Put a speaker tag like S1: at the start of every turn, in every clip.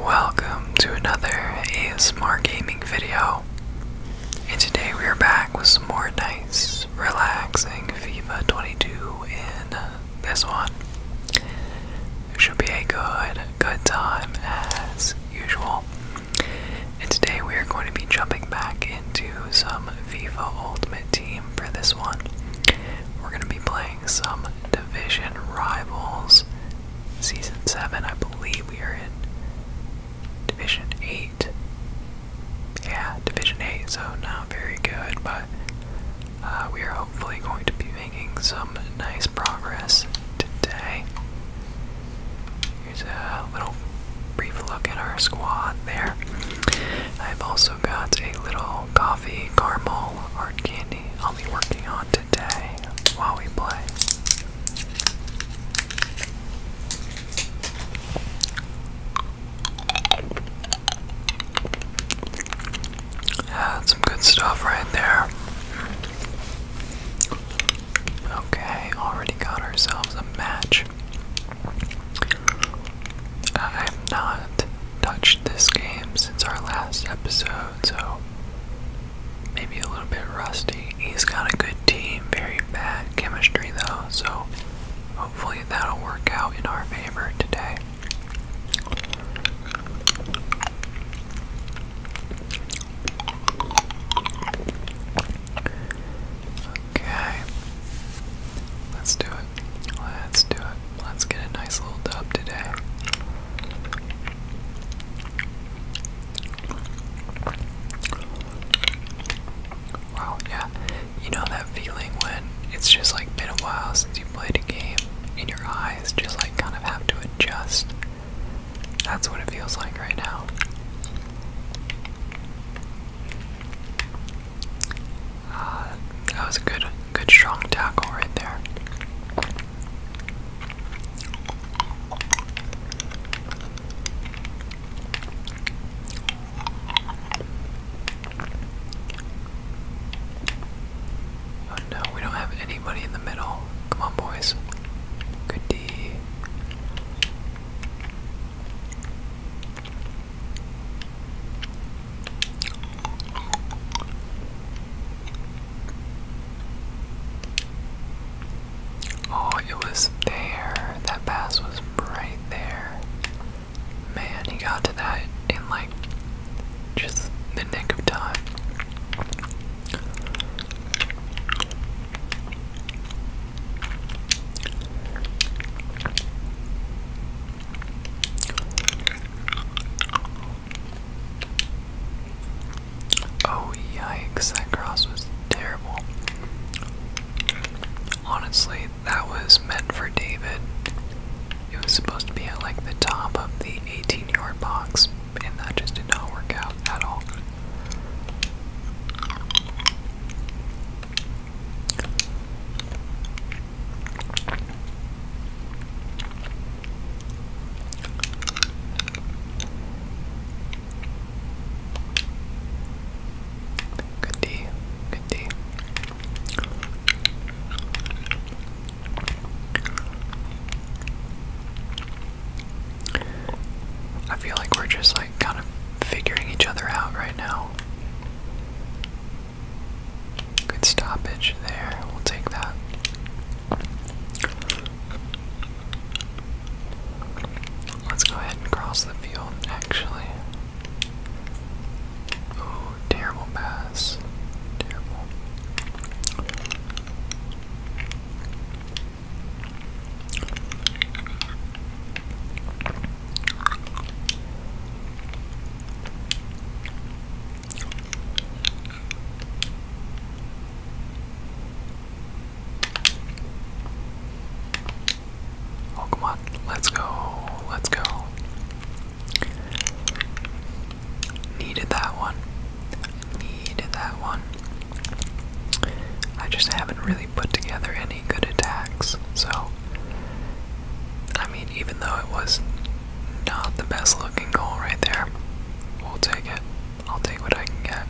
S1: Welcome to another ASMR gaming video. And today we are back with some more nice, relaxing FIFA 22 in this one. It should be a good, good time as usual. And today we are going to be jumping back into some FIFA Ultimate Team for this one. We're going to be playing some division rivals. Season 7, I believe we are in Division 8. Yeah, Division 8, so not very good, but uh, we are hopefully going to be making some nice progress today. Here's a little brief look at our squad there. I've also got a little coffee caramel art candy I'll be working on today while we play. Yeah, some good stuff right there. Okay, already got ourselves a match. I have not touched this game since our last episode, so maybe a little bit rusty. He's got a good team, very bad chemistry though, so hopefully that'll work out in our favor today. Okay. Let's do it. Let's do it. Let's get a nice little dub today. Wow, yeah. You know that feeling when it's just like been a while since you played a game and your eyes just like kind of have to adjust? That's what it feels like right now. Uh, that was a good, good strong tackle right there. Oh no, we don't have anybody in the middle. Come on, boys. Good D. Oh, it was there. That pass was right there. Man, he got to that in like just the nick of time. Oh, yikes, that cross was terrible. Honestly, that was meant for David. It was supposed to be at like the top of the 18 yard box, and that just did not work out at all. Good D, good D. I feel like we're just like kind of figuring each other out right now. Good stoppage there. We'll take that. Let's go ahead and cross the field, actually. Oh, terrible pass. Terrible. Oh, Let's go. Let's go. Needed that one. Needed that one. I just haven't really put together any good attacks, so I mean, even though it was not the best looking goal right there, we'll take it. I'll take what I can get.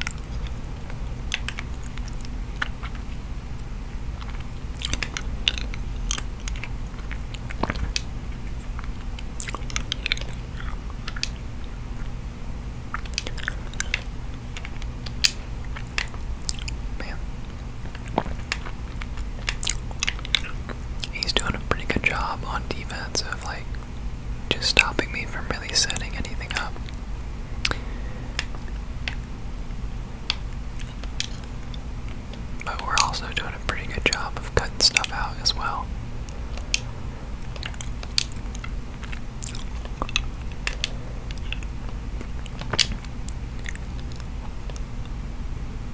S1: Man he's doing a pretty good job on defense of like just stopping me from really setting anything up. But we're also doing a pretty good job of cutting stuff out as well.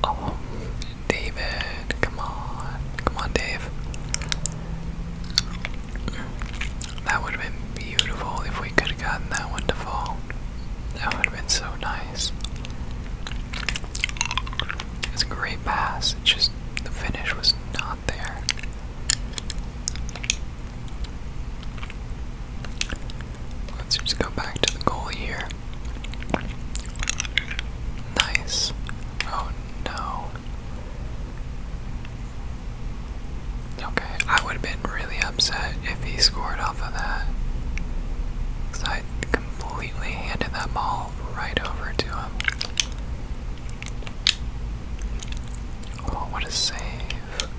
S1: Oh, David, come on. Come on, Dave. That would have been beautiful if we could have gotten that one to fall. That would have been so nice. It's a great pass. It's just the finish was not there. Let's just go back to the goal here. Nice. Oh no. Okay, I would have been really upset if he scored off of that. Because I completely handed that ball right over to him. Oh, what a save.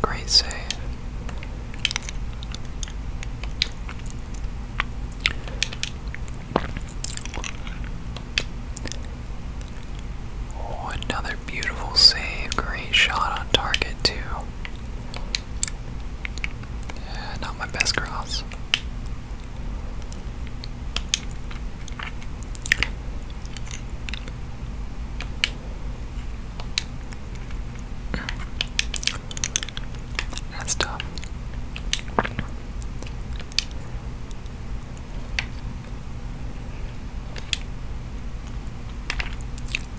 S1: Great save. Oh, another beautiful save. Great shot on target, too. not my best cross. That's tough.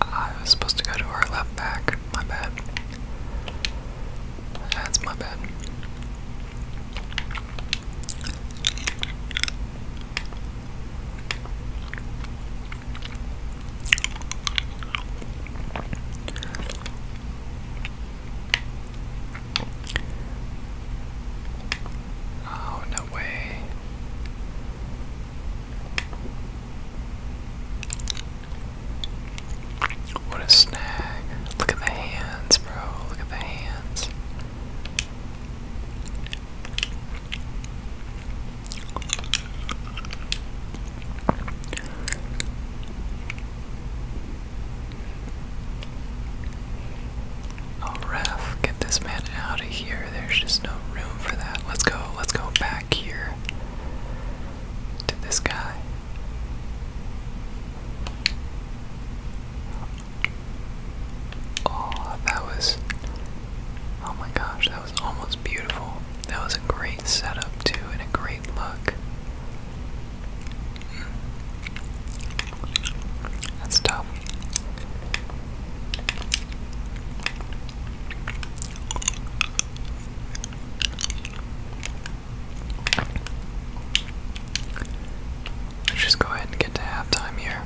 S1: I was supposed to go to our left back. My bad. That's my bad. Oh, no way. What a snag. Look at the hands, bro. Look at the hands. Oh, ref, get this man out of here. There's just no room for that. Let's go, let's go back here to this guy. Oh, that was. Oh my gosh, that was almost beautiful. That was a great setup, too, and a great look. That's tough. just go ahead and get to halftime here.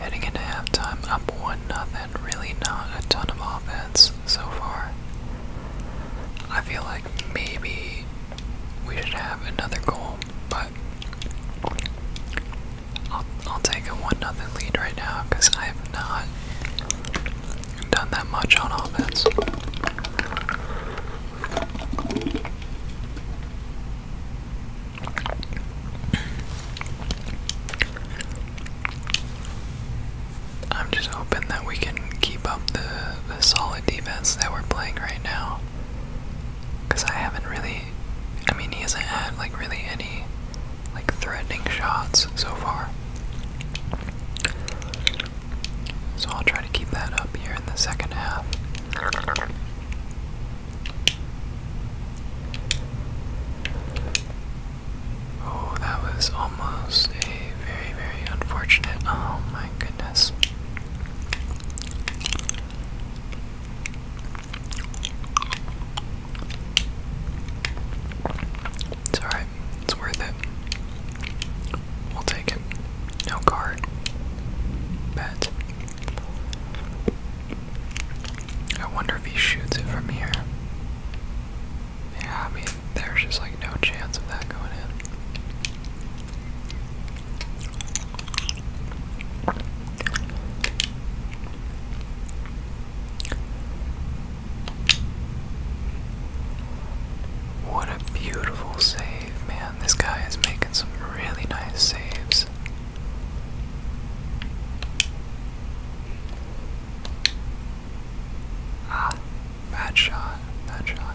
S1: Heading into halftime, up 1 0 really not a ton of offense so far. I feel like maybe we should have another goal, but I'll, I'll take a 1 nothing lead right now because I have not done that much on offense. I'm just hoping that we can keep up the, the solid defense that we're playing right now. Because I haven't really, I mean, he hasn't had like really any like threatening shots so far. So I'll try to keep that up here in the second half. Oh, that was almost a very, very unfortunate. Oh my goodness. It's alright, it's worth it. We'll take it. No card. Bet. I wonder if he shoots it from here. Yeah, I mean, there's just like no chance of that going in. What a beautiful save, man. This guy is making some really nice saves. Ah, bad shot, bad shot.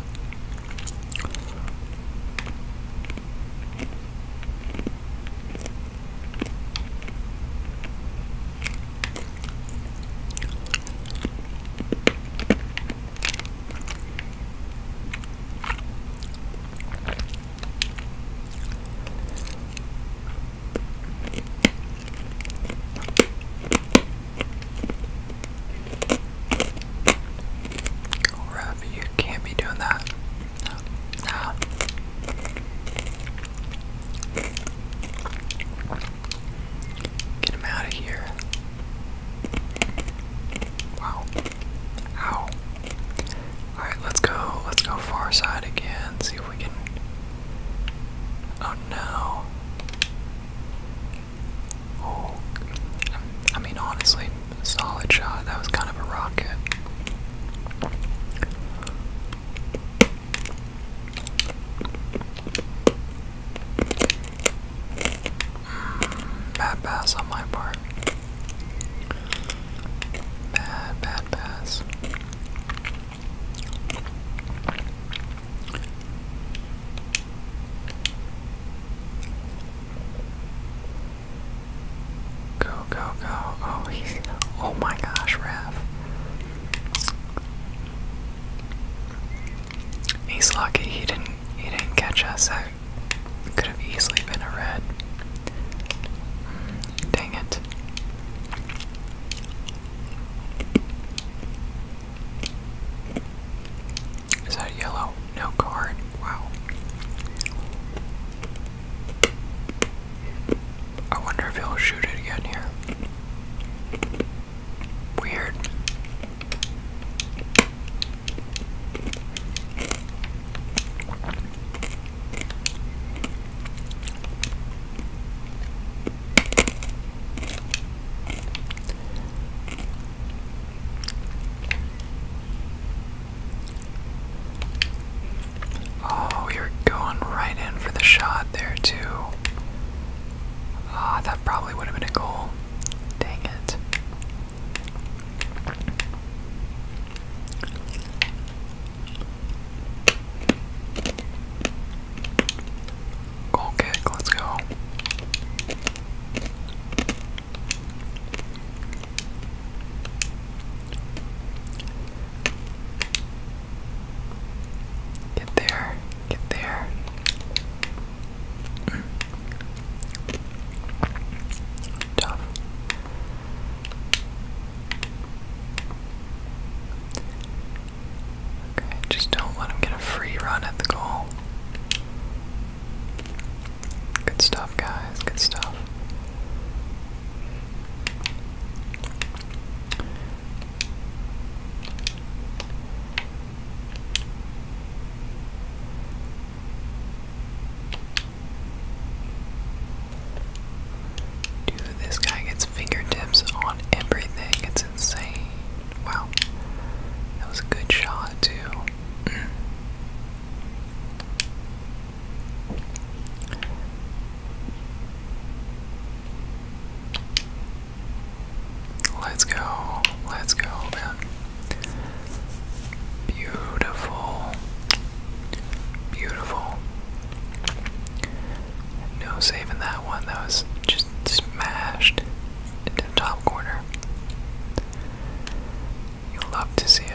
S1: Rev, you can't be doing that. No. no. Get him out of here. Wow. Ow. Alright, let's go. Let's go far side again. Oh no. Oh, um, I mean, honestly, solid shot. That was kind of a rocket. bad pass on my part. Bad, bad pass. Go, go, go. Oh, he's. Oh my gosh, Raph. He's lucky he didn't he didn't catch us. I could have easily been a red. Mm, dang it. Is that yellow? No card. Wow. I wonder if he'll shoot it again here. Weird. Oh, you're going right in for the shot there, too. Ah, that probably would have been a Dang it. Goal kick, let's go. Get there, get there. Tough. Okay, just don't let him get a free run at the goal. Good stuff, guys. Good stuff. This guy gets fingertips on everything. It's insane. Wow. That was a good shot, too. Mm. Let's go. Let's go, man. Beautiful. Beautiful. No saving that one. That was just smashed into the top corner. love to see it.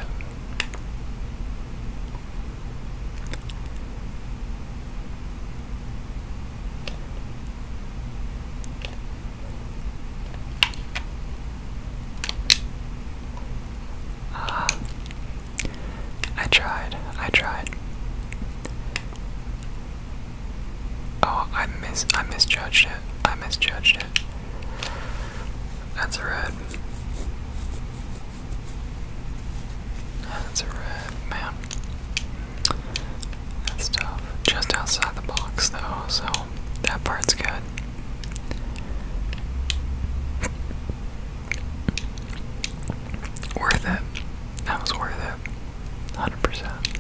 S1: Ah, I tried. I tried. Oh, I mis I misjudged it. I misjudged it. That's a red. That's a red, man. That's tough. Just outside the box, though, so that part's good. Worth it. That was worth it. 100%.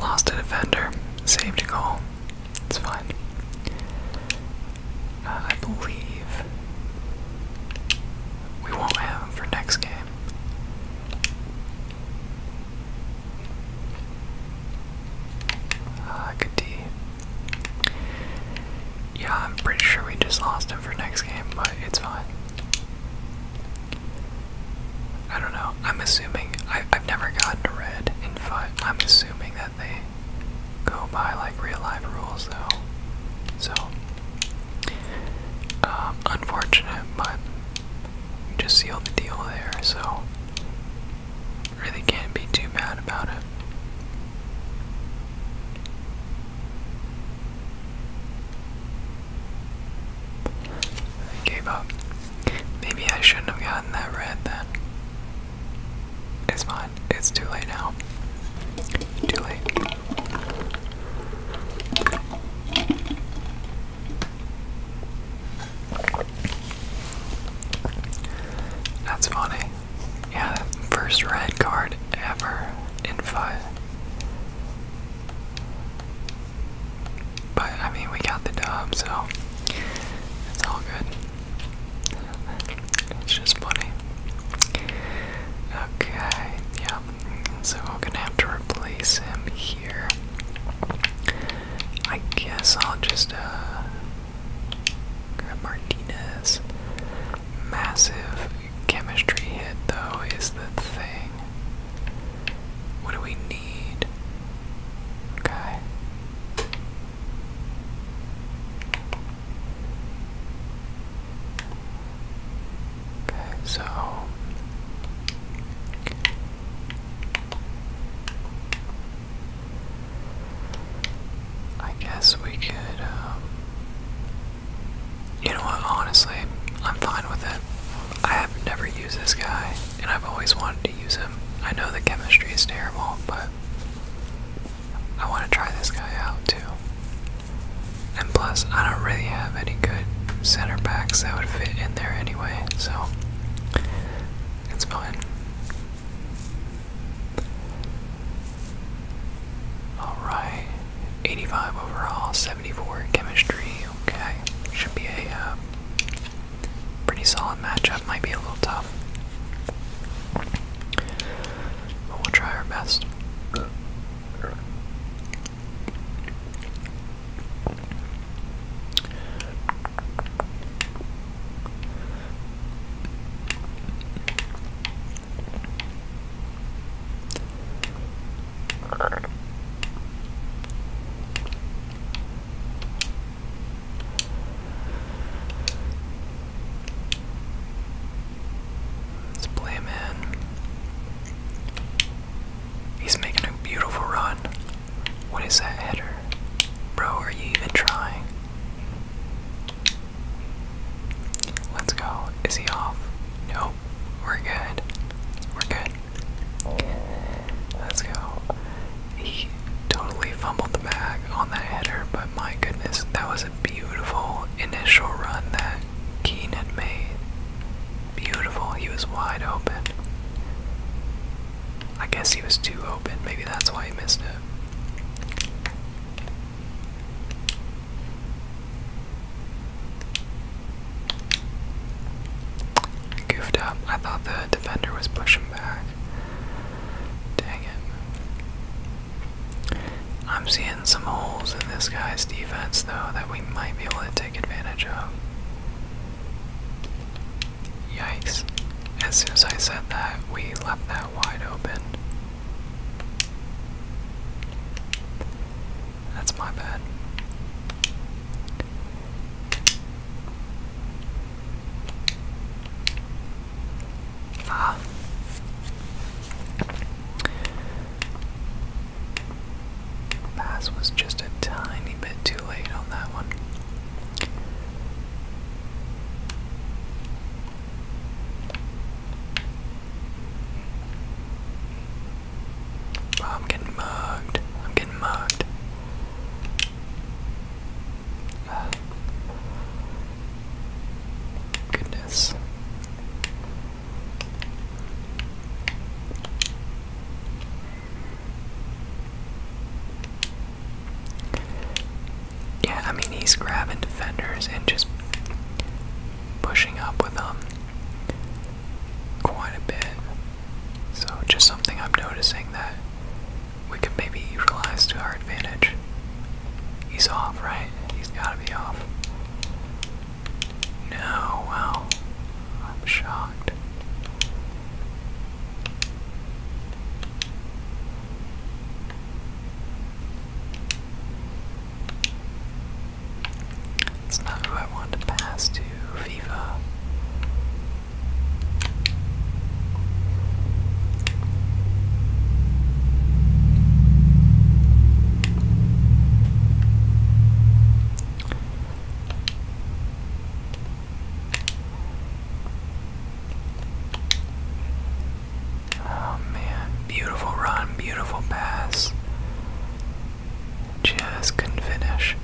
S1: Lost a defender. Saved a goal. It's fine. Uh, I believe we won't have him for next game. Uh, good Yeah, I'm pretty sure we just lost him for next game, but it's fine. I don't know. I'm assuming I, have never gotten red in fight. I'm assuming that they go by like real life rules though. So um, unfortunate, but just sealed the deal there. So really can't be too mad about it. I gave up. Maybe I shouldn't have gotten that red then. It's fine. It's too late now. Too late. That's funny. Yeah, that first red card ever in five. But I mean, we got the dub, so it's all good. It's just funny. Okay, yeah. So I'm gonna have to replace him here. I guess I'll just uh grab Martinez. Massive chemistry hit, though, is the thing. What do we need? Okay. Okay, so. I guess we could, um, you know what, honestly, I'm fine with it. I have never used this guy, and I've always wanted to use him. I know the chemistry is terrible, but I want to try this guy out too. And plus, I don't really have any good center backs that would fit in there anyway, so it's fine. Alright, 85 overall, 74 chemistry. Okay, should be a uh, pretty solid matchup. Might be a little tough, but we'll try our best. Let's play him He's making a beautiful run. What is that header? Bro, are you even trying? Let's go. Is he off? No, We're good. We're good. Let's go. He totally fumbled the bag on that header, but my goodness, that was a beautiful initial run that Keane had made. Beautiful. He was wide open. I guess he was too open. Maybe that's why he missed it. I goofed up. I thought the defender was pushing back. Dang it. I'm seeing some holes in this guy's defense, though, that we might be able to take advantage of. Yikes. As soon as I said that, we left that wide open. That's my bad. Ah. Pass was just a tiny bit too late on that one. Oh, I'm getting mugged. I'm getting mugged. goodness. Yeah, I mean, he's grabbing defenders and just pushing up with them um, quite a bit. So, just something I'm noticing that we can maybe utilize to our advantage. He's off, right? He's gotta be off. No, wow. I'm shocked. That's not who I want to pass to, Viva. Oh man, beautiful run, beautiful pass. Just couldn't finish.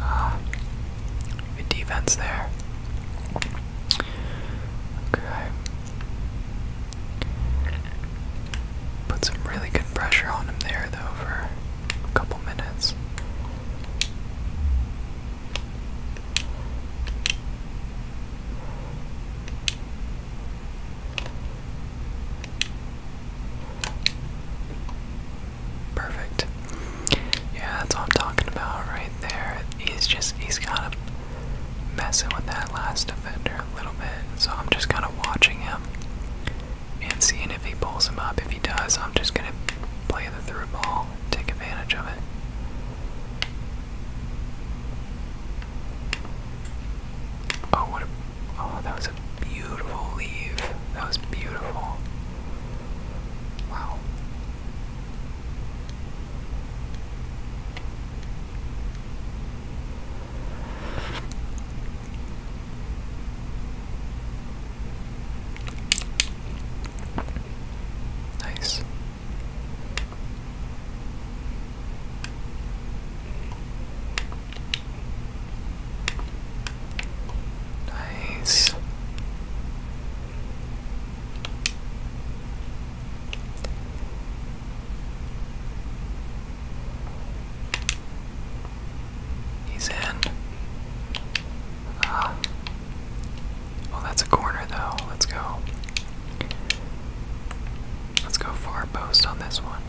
S1: Uh, defense there. Okay. Put some really good pressure on him there, though, for a couple minutes. Perfect. Yeah, that's what I'm talking about right there. He's just, he's kind of messing with that last defender a little bit. So I'm just kind of watching him and seeing if he pulls him up. If he does, I'm just going to play the through ball take advantage of it. Oh, what a. Oh, that was a beautiful leave. That was beautiful. Wow. Nice. Nice. He's in. Ah. Well, that's a corner, though. Let's go. Let's go far post on this one.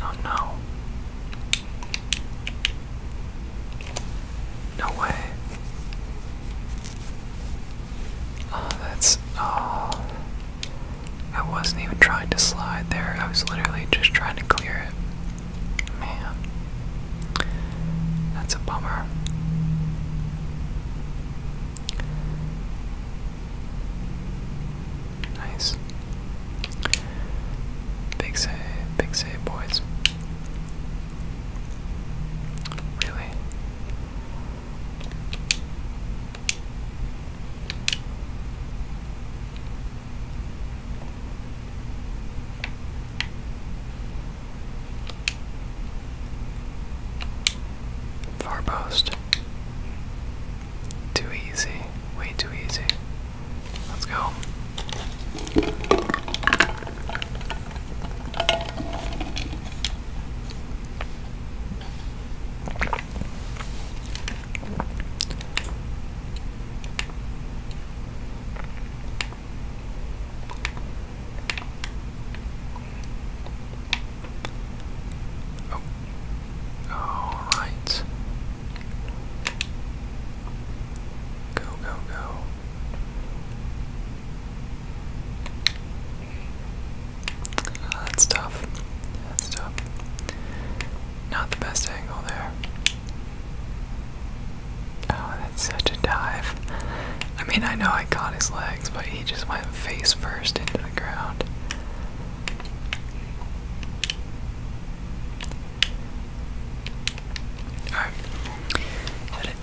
S1: Oh no. No way. Oh, that's. Oh. I wasn't even trying to slide there, I was literally just trying to clear it. Man, that's a bummer. Nice. Big save, big save, boys. Really? Far post. Too easy. Way too easy. Let's go. Oh. All right. Go, go, go that's tough. That's tough. Not the best angle there. Oh, that's such a dive. I mean, I know I caught his legs, but he just went face first into the ground. Alright.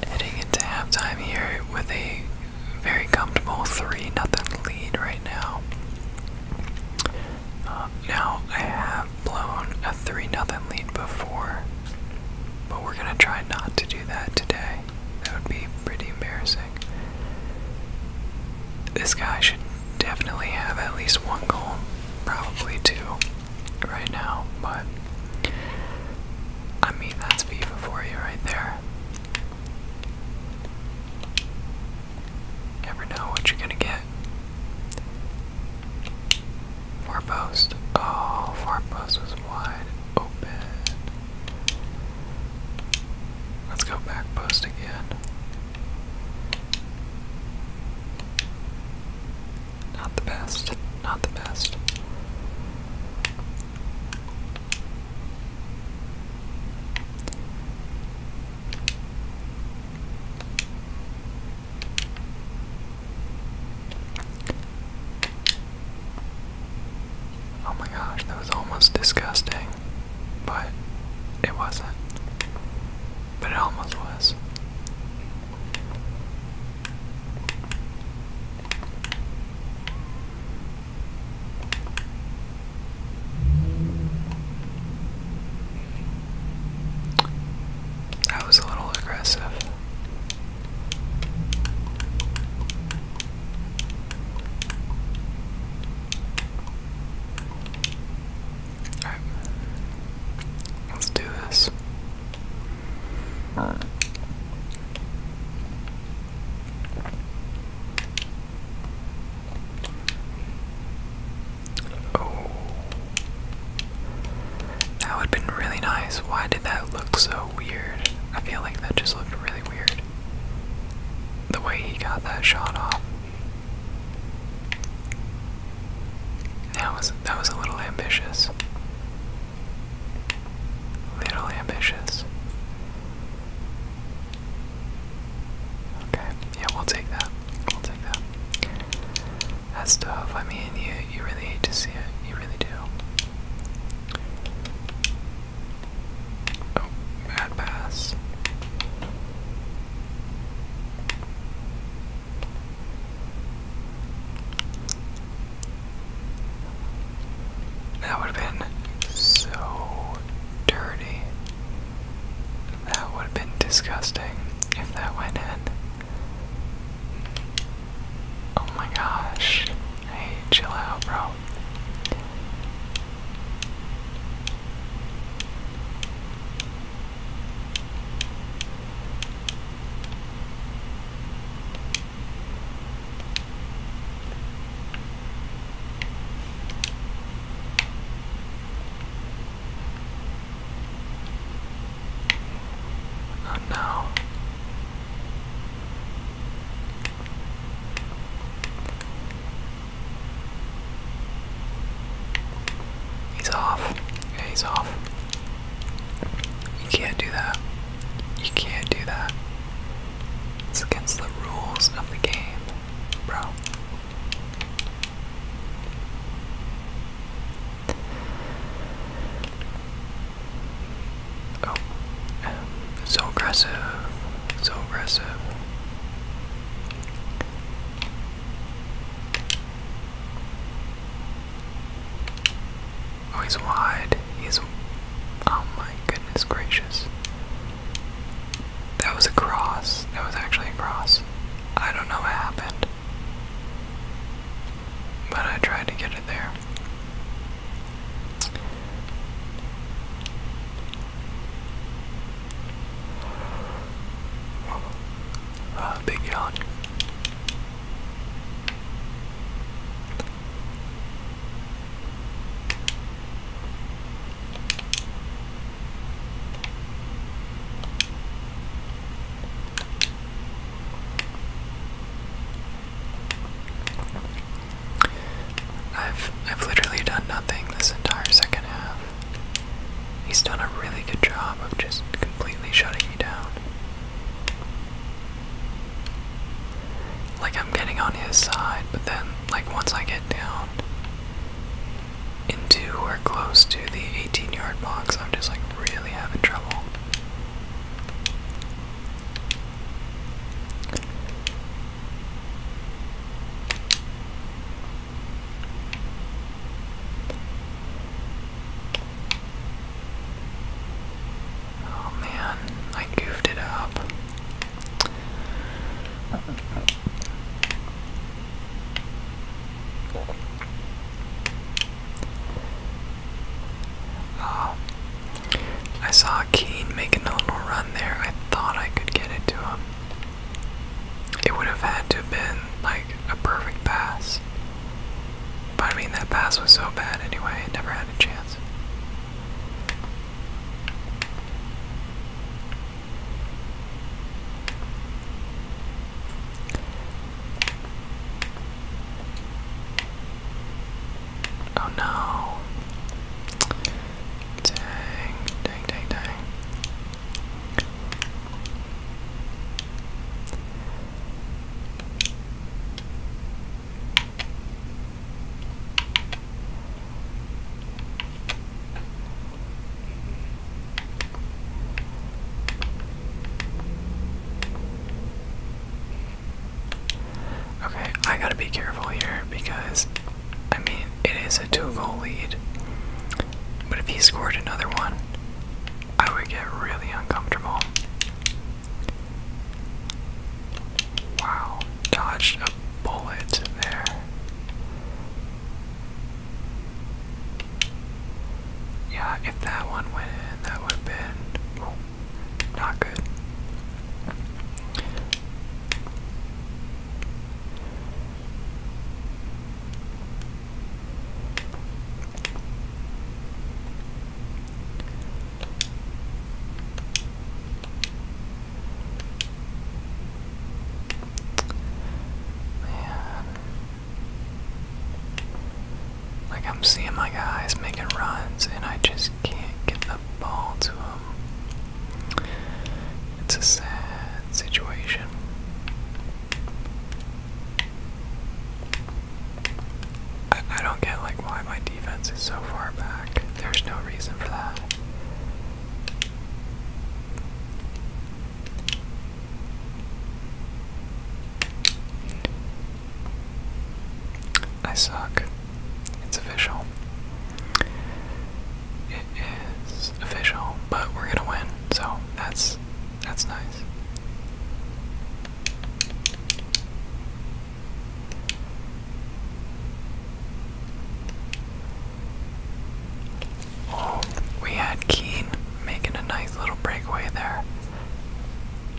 S1: Heading into halftime here with a very comfortable 3 nothing lead right now. Um, now, I have blown a 3 0 lead before, but we're going to try not to do that today. That would be pretty embarrassing. This guy should definitely have at least one goal, probably two, right now, but I mean, that's FIFA for you right there. Never know what you're gonna get. Four post. Oh, four post wide open. Let's go back post again. Not the best. Not the best. Oh my gosh, that was almost disgusting, but it wasn't. But it almost was. That was a little aggressive. Alright. Let's do this. Oh. That would have been really nice. Why did that look so weird? I feel like that just looked really weird. The way he got that shot off. That was that was a little ambitious. Little ambitious. Okay, yeah, we'll take that. We'll take that. That's tough. I mean, you you really hate to see it. You really do. Oh, bad pass. That would have been so dirty. That would have been disgusting if that went in. Oh my gosh. Hey, chill out, bro. Not now. He's off. Yeah, he's off. You can't do that. You can't do that. It's against the rules of the game, bro. Oh, um, so aggressive, so aggressive. Oh, he's wide. He's. Oh my goodness gracious. That was a cross. That was actually a cross. I don't know what happened. But I tried to get it there. Uh, big yawn. I've I've literally done nothing this entire second half. He's done a really good job of just completely shutting me down. Like I'm getting on his side, but then like once I get down, into we're close to the 18 yard box, I'm just like really having trouble. Oh man, I goofed it up. I saw Keane making a little run there. I thought I could get it to him. It would have had to have been like a perfect pass. But I mean, that pass was so bad anyway, It never had a chance. Oh no. Dang, dang, dang, dang. Okay, I gotta be careful here because, I mean, it is a two goal lead. But if he scored another one, I would get really uncomfortable. Wow, dodged a bullet there. Yeah, if that one went that would have been not good. Man. Like, I'm seeing my guys making runs, and I just can't get the ball to them. It's a sad situation. I, don't get, like, why my defense is so far back. There's no reason for that. I suck. It's official. It is official, but we're gonna win, so that's that's nice. We had Keane making a nice little breakaway there.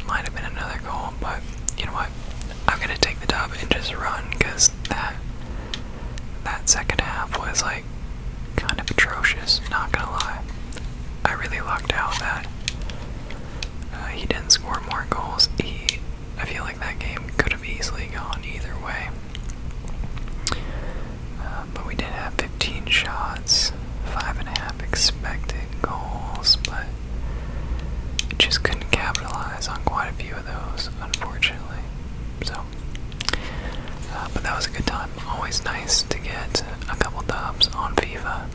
S1: Might have been another goal, but you know what? I'm gonna take the dub and just run because that that second half was like kind of atrocious. Not gonna lie, I really lucked out that uh, he didn't score more goals. He I feel like that game could have easily gone either way. Uh, but we did have 15 shots, 5.5 expected goals, but just couldn't capitalize on quite a few of those, unfortunately. So, uh, but that was a good time. Always nice to get a couple dubs on FIFA.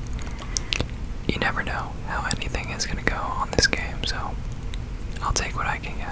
S1: You never know how anything is going to go on this game, so I'll take what I can get.